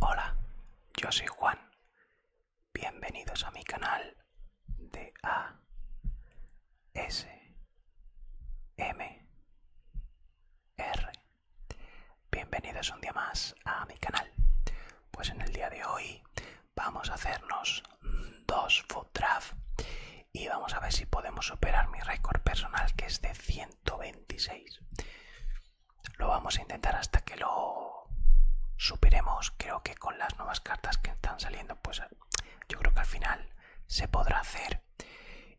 Hola, yo soy Juan. Bienvenidos a mi canal de A S M R. Bienvenidos un día más a mi canal. Pues en el día de hoy Vamos a hacernos dos foot y vamos a ver si podemos superar mi récord personal que es de 126. Lo vamos a intentar hasta que lo superemos. Creo que con las nuevas cartas que están saliendo, pues yo creo que al final se podrá hacer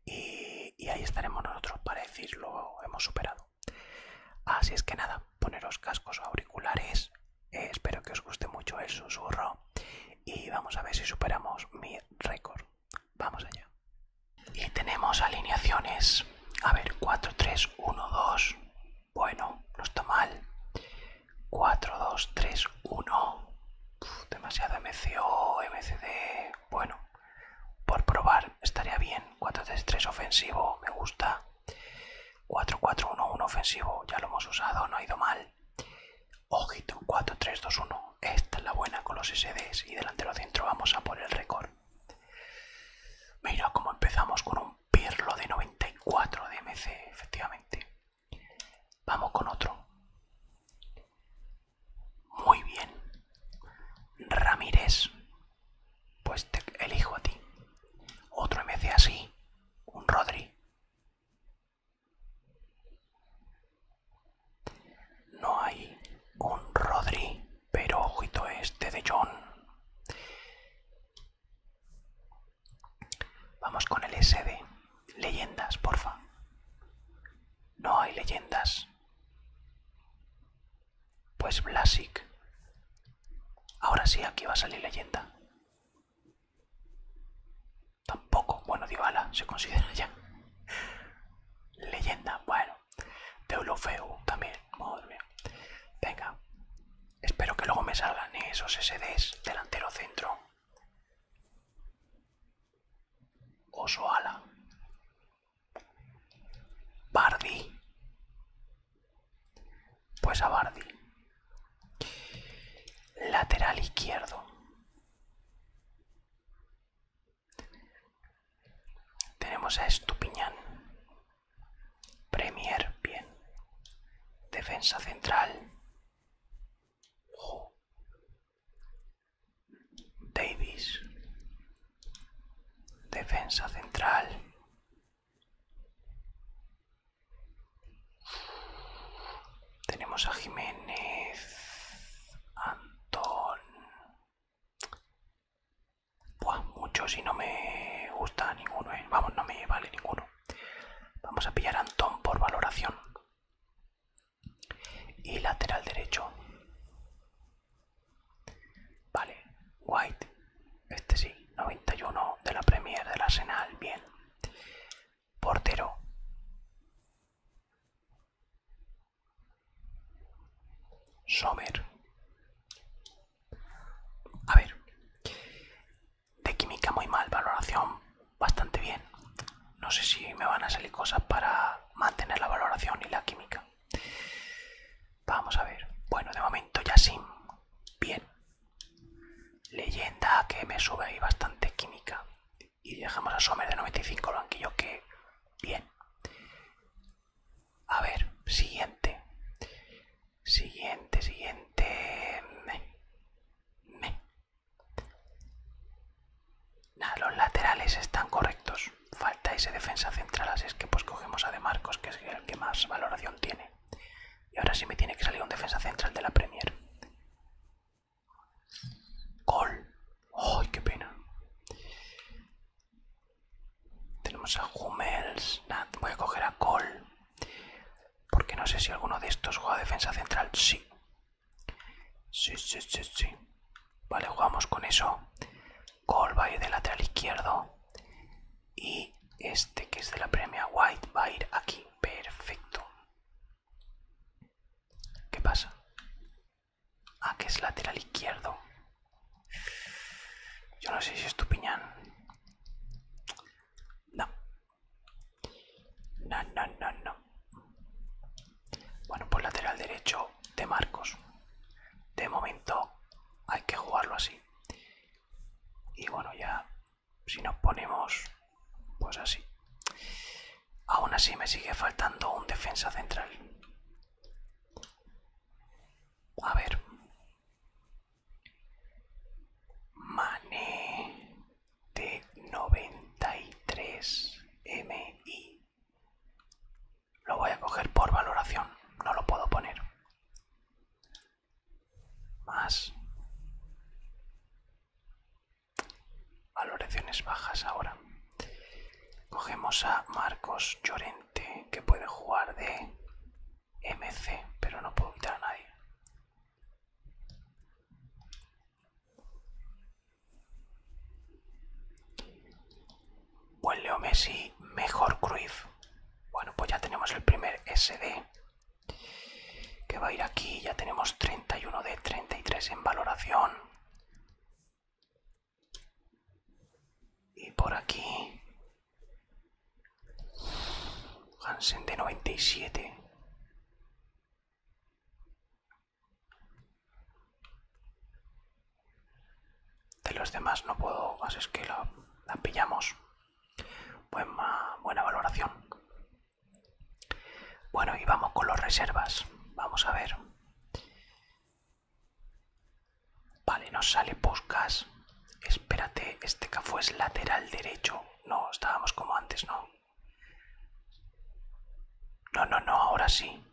y, ahí estaremos nosotros para decir lo hemos superado. Así es que nada, poneros cascos o auriculares espero que os guste mucho el susurro y vamos a ver si superamos mi récord. Vamos allá. Y tenemos alineaciones. A ver, 4, 3, 1, 2. Bueno, no está mal. 4, 2, 3, 1. demasiado MCO, MCD. Bueno, por probar estaría bien. 4, 3, 3 ofensivo, me gusta. 4-4-1-1 ofensivo, ya lo hemos usado, no ha ido mal. Ojito, 4-3-2-1. Esta es la buena con los SDs y delantero centros vamos a por el récord. Mira cómo empezamos con un Pirlo de 94 de MC, efectivamente. Vamos con otro. Muy bien. Ramírez. Pues te elijo a ti. Otro MC así un Rodri. No hay un Rodri, pero ojito este de John. Vamos con el SD. Leyendas, porfa. No hay leyendas. Pues Blasic. Ahora sí, aquí va a salir leyenda. Tampoco, bueno, Divala se considera ya leyenda, bueno, Deulofeu también, Venga, espero que luego me salgan esos SDs delantero centro. Osoala, Bardi, pues a Bardi. Lateral izquierdo. Tenemos a Estupiñán. Premier, bien. Defensa central. Davis. Defensa central. Tenemos a Jiménez, Antón. muchos y no me gusta ninguno, ¿eh? vamos, no me vale ninguno. Vamos a pillar a Antón por valoración. Y lateral derecho. Vale, White este sí, 91 de la Premier del Arsenal, bien. Portero. Sommer. A ver. De química muy mal, valoración bastante bien. No sé si me van a salir cosas para mantener la valoración y la química. Vamos a ver. Bueno, de momento ya sí. Bien. Leyenda que me sube ahí bastante química. Y dejamos a Sommer de 95 al banquillo que... Bien. A ver, siguiente. Siguiente, siguiente... los laterales están correctos. Falta ese defensa central, así es que pues cogemos a De Marcos, que es el que más valoración tiene. Y ahora sí me tiene que salir un defensa central de la Premier. Cole ¡Ay, qué pena! Tenemos a Hummels. voy a coger a Cole Porque no sé si alguno de estos juega defensa central. Sí. Sí, sí, sí, Vale, jugamos con eso. Cole va a ir de lateral izquierdo y este que es de la premia white va a ir aquí perfecto ¿Qué pasa? Ah, que es lateral izquierdo. Yo no sé si es tu piñán. No. No, no, no, no. Bueno, pues lateral derecho de Marcos. De momento hay que jugarlo así. Y bueno, ya si nos ponemos pues así aún así me sigue faltando un defensa central a ver Mané de 93 MI lo voy a coger por valoración no lo puedo poner más. Valoraciones bajas ahora. Cogemos a Marcos Llorente, que puede jugar de MC, pero no puedo quitar a nadie. Buen Leo Messi, mejor Cruyff. Bueno, pues ya tenemos el primer SD que va a ir aquí. Ya tenemos 31 de 33 en valoración. Y por aquí... Hansen de 97. De los demás no puedo, así es que la, la pillamos buena valoración. Bueno, y vamos con las reservas. Vamos a ver. Vale, nos sale Puskas. Espérate, este Cafu es lateral derecho. No, estábamos como antes, ¿no? No, no, no, ahora sí.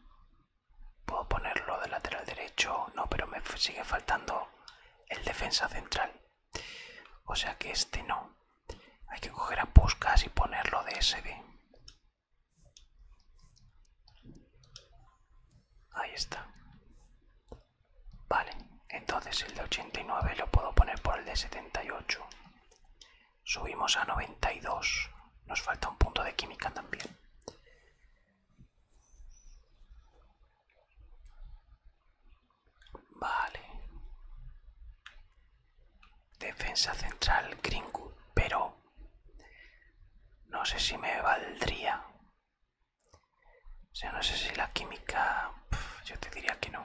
Puedo ponerlo de lateral derecho. No, pero me sigue faltando el defensa central. O sea que este no. Hay que coger a puscas y ponerlo de SD. Ahí está. Vale, entonces el de 89 lo puedo poner por el de 78. Subimos a 92. Nos falta un punto de química también. Vale. Defensa central gringo pero no sé si me valdría. O sea, no sé si la química... yo te diría que no.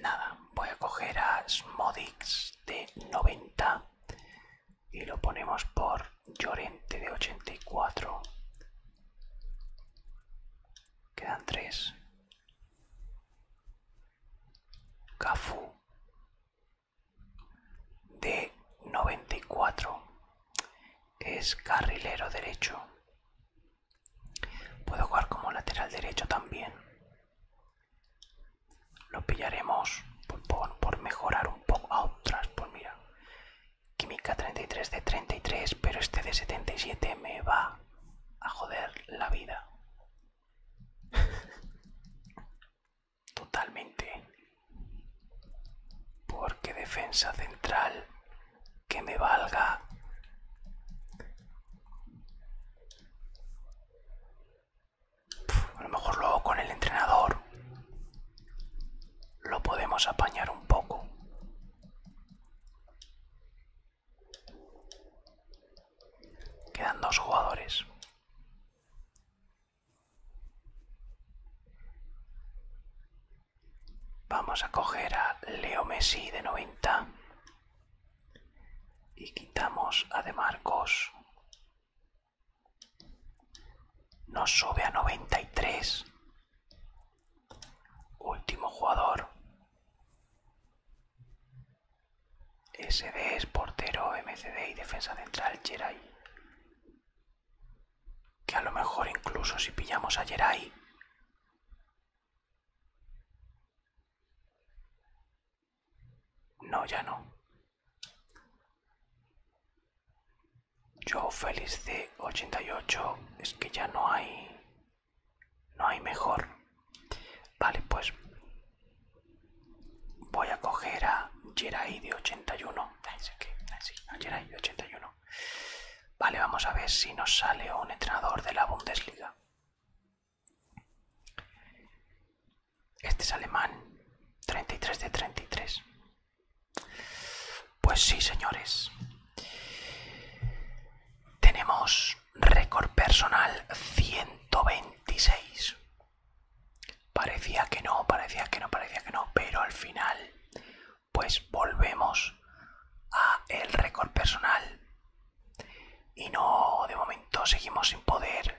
Nada, voy a coger a Smodix de 90 y lo ponemos por Llorente de 84. Quedan tres. Cafú de 94. Es carrilero derecho. Puedo jugar como lateral derecho también lo pillaremos por, mejorar un poco. a ah, otras, pues mira. Química 33 de 33, pero este de 77 me va a joder la vida. Totalmente. Porque defensa central que me valga a lo mejor luego con el entrenador lo podemos apañar un poco. Quedan dos jugadores. Vamos a coger a Leo Messi de 90 y quitamos a De Marcos nos sube a 93. Último jugador. SD es portero, MCD y defensa central Jerai. Que a lo mejor incluso si pillamos a Jerai. No, ya no. Yo feliz de 88 es que ya no hay no hay mejor. Vale, pues voy a coger a Jerai de 81. 81. Vale, vamos a ver si nos sale un entrenador de la Bundesliga. Este es alemán. 33 de 33. Pues sí, señores. Tenemos récord personal 126. Parecía que no, parecía que no, parecía que no, pero al final pues volvemos a el récord personal. Y no, de momento seguimos sin poder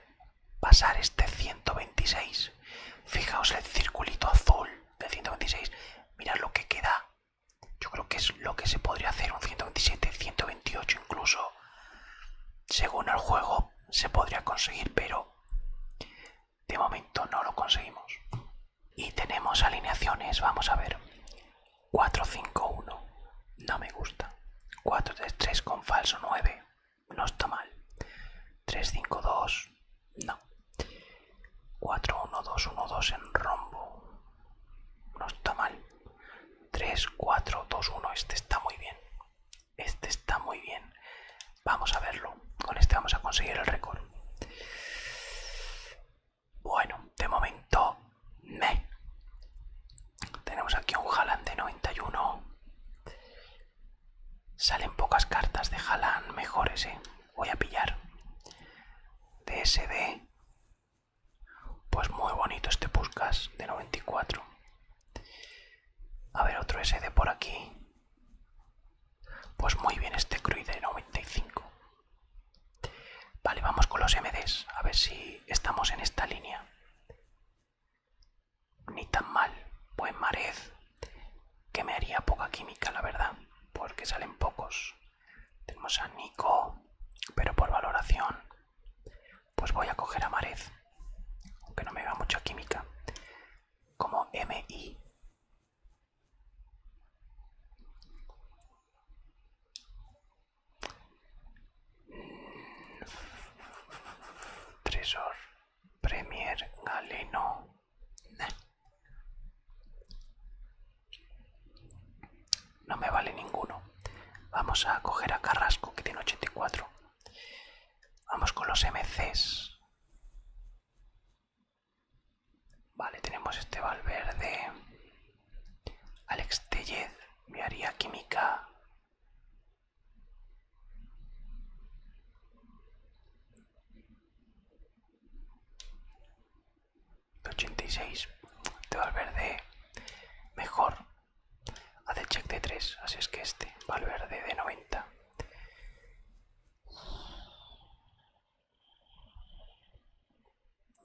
pasar este 126. Fijaos el circulito azul De 126. Mirad lo que queda. Yo creo que es lo que se podría hacer un 127, 128 incluso. Según el juego se podría conseguir, pero de momento no lo conseguimos. Y tenemos alineaciones, vamos a ver. 4-5-1, no me gusta. 4 3 con falso 9, no está mal. 3-5-2, no. 4-1-2-1-2 en rombo, no está mal. 3-4-2-1, este está muy bien. Este está muy bien. Vamos a verlo. Con este vamos a conseguir el récord. Bueno, de momento, me. Tenemos aquí un Haaland de 91. Salen pocas cartas de Jalan Mejor ese. ¿eh? Voy a pillar. DSD. Pues muy bonito este Puskas de 94. A ver, otro SD por aquí. Pues muy bien este Cruy de 95. Vale, vamos con los MDs. A ver si estamos en esta línea ni tan mal. Buen Marez, que me haría poca química, la verdad, porque salen pocos. Tenemos a Nico, pero por valoración, pues voy a coger a Marez, aunque no me da mucha química, como MI. Mm. Tresor. Premier Galeno. No me vale ninguno. Vamos a coger a Carrasco, que tiene 84. Vamos con los MCs. Vale, tenemos este Valverde. Alex Tellez, me haría química. 86 te verde mejor hace check de 3 así es que este va verde de 90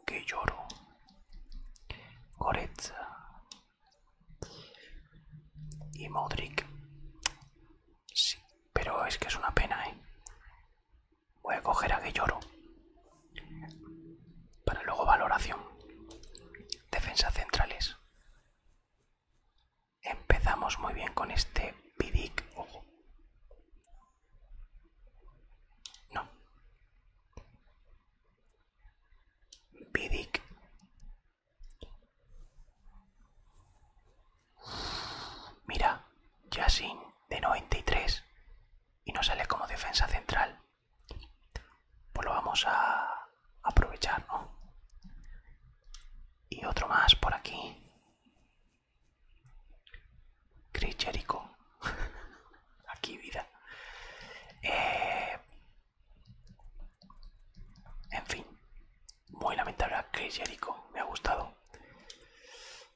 que lloro Goretza y Modric. Sí, pero es que es una pena, ¿eh? Voy a coger a lloro Para luego valoración. defensa centrales. Empezamos muy bien con este Vidic. No. Vidic Mira, sin de 93 y no sale como defensa central. Pues lo vamos a aprovechar, ¿no? Y otro más por aquí. Chris aquí vida. Eh, en fin, muy lamentable a Chris Jericho, me ha gustado.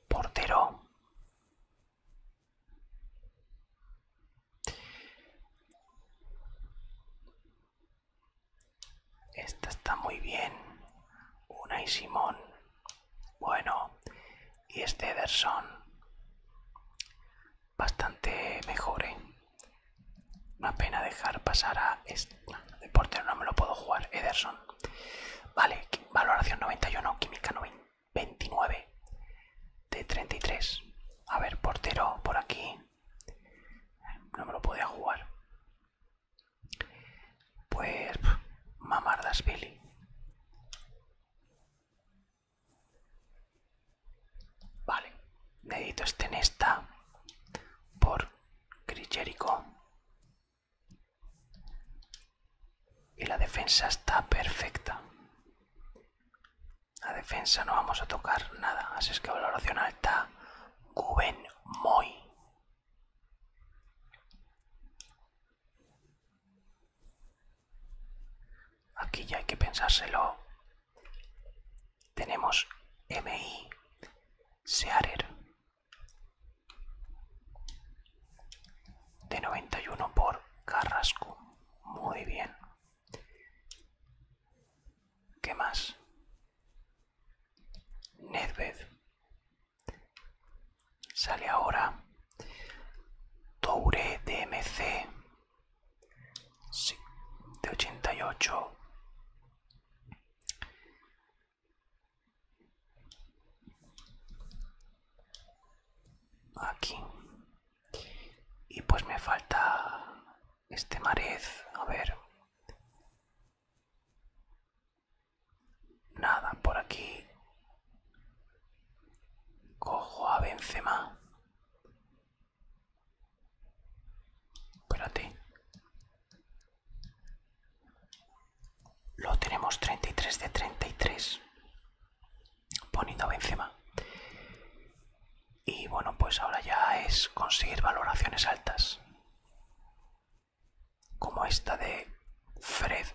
Portero. Esta está muy bien. Una y Simón. Bueno. Y este Ederson bastante mejor, ¿eh? Una pena dejar pasar a este bueno, portero no me lo puedo jugar, Ederson. Vale, valoración 91, química 29 de 33. A ver, portero por aquí. No me lo podía jugar. Pues mamardas Billy. Vale, necesito este en esta por Crichérico. Y la defensa está perfecta. La defensa no vamos a tocar nada, así es que valoración alta. Guben Moy. Aquí ya hay que pensárselo tenemos MI, Searer, de 91 por Carrasco. Muy bien. ¿Qué más? Nedved. Sale ahora. Toure DMC sí, de 88 aquí y pues me falta este marez a ver nada por aquí cojo a Benzema Espérate. Lo tenemos 33 de 33. Poniendo encima Y bueno, pues ahora ya es conseguir valoraciones altas. Como esta de Fred.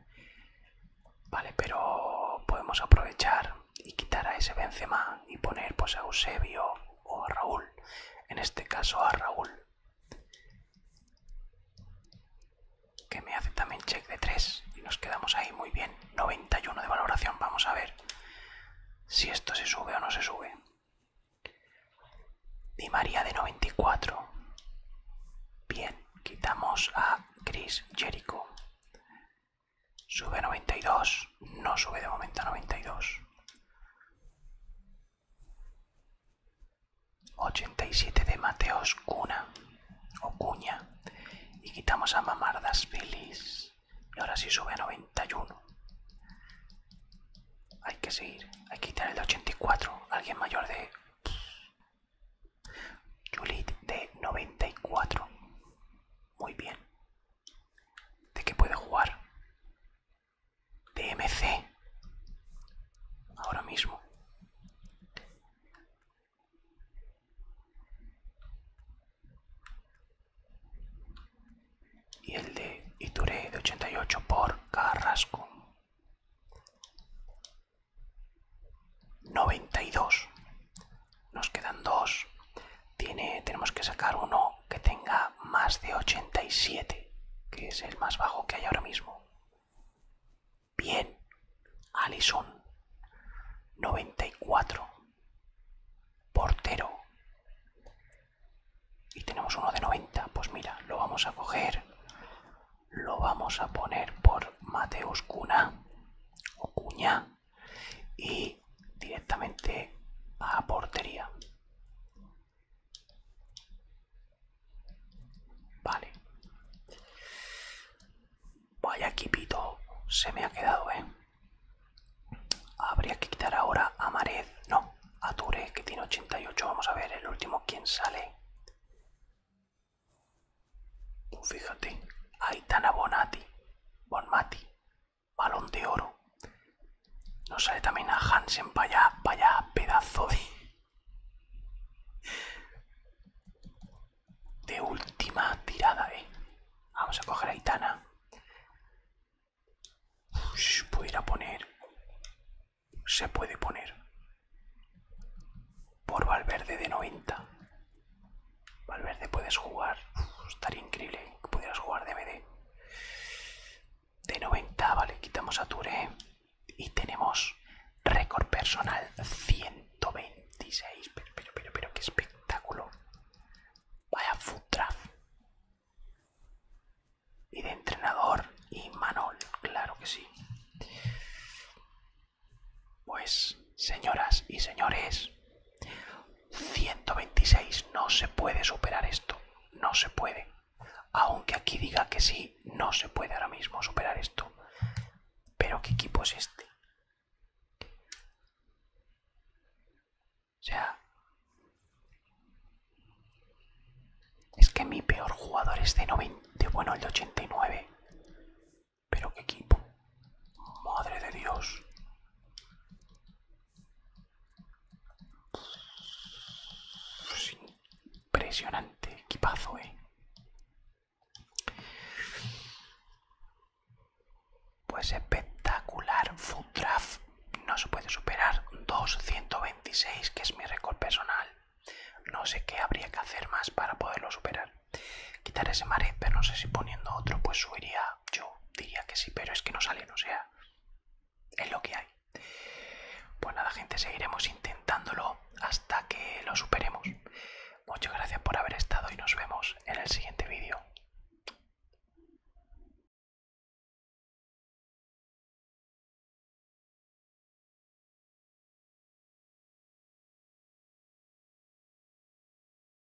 vale, pero podemos aprovechar y quitar a ese Benzema y poner pues a Eusebio o a Raúl, en este caso a Raúl, que me hace también check de 3 y nos quedamos ahí muy bien, 91 de valoración, vamos a ver si esto se sube o no se sube. y María de 94, bien, quitamos a Chris Jericho. Sube a 92. No sube de momento a 92. 87 de Mateos Cuna o Cuña. Y quitamos a Mamardas Feliz. Y ahora sí sube a 91. Hay que seguir. Hay que quitar el de 84. Alguien mayor de... Julit de 94. Muy bien. ¿De qué puede jugar? De MC. Ahora mismo. Y el de Ituré de 88 por Carrasco. 92 nos quedan dos. tenemos que sacar uno que tenga más de 87, que es el más bajo que hay ahora mismo. Bien. Alison. 94. Portero. Y tenemos uno de 90. Pues mira, lo vamos a coger. Lo vamos a poner por Mateus Cuna. O Cuña y directamente a portería. Vale. Vaya equipito se me ha quedado, ¿eh? Habría que quitar ahora a Marez, no, a Ture, que tiene 88. Vamos a ver el último quién sale. Pues fíjate, Aitana Bonati, Bonmati, balón de oro. Nos sale también a Hansen, vaya, vaya pedazo de... De última tirada, eh. Vamos a coger a Itana. ir a poner... Se puede poner. Por Valverde de 90. Valverde, puedes jugar. estaría increíble que pudieras jugar DVD. De 90, vale, quitamos a Touré. Y tenemos récord personal 126. Pero, pero, pero, qué espectáculo. Vaya food Y de entrenador, y Manol, claro que sí. Pues, señoras y señores, 126, no se puede superar esto, no se puede. Aunque aquí diga que sí, no se puede ahora mismo superar esto. Pero ¿qué equipo es este? O sea... Es que mi peor jugador es de 90, bueno, el de 89. Pero qué equipo. Madre de Dios. Es pues impresionante, equipazo, eh. Pues espectacular, Food no se puede superar 226, que es mi récord personal. No sé qué habría que hacer más para poderlo superar. Quitar ese mare pero no sé si poniendo otro pues subiría yo diría que sí, pero es que no salen, o sea, es lo que hay. Pues nada, gente, seguiremos intentándolo hasta que lo superemos. Muchas gracias por haber estado y nos vemos en el siguiente vídeo.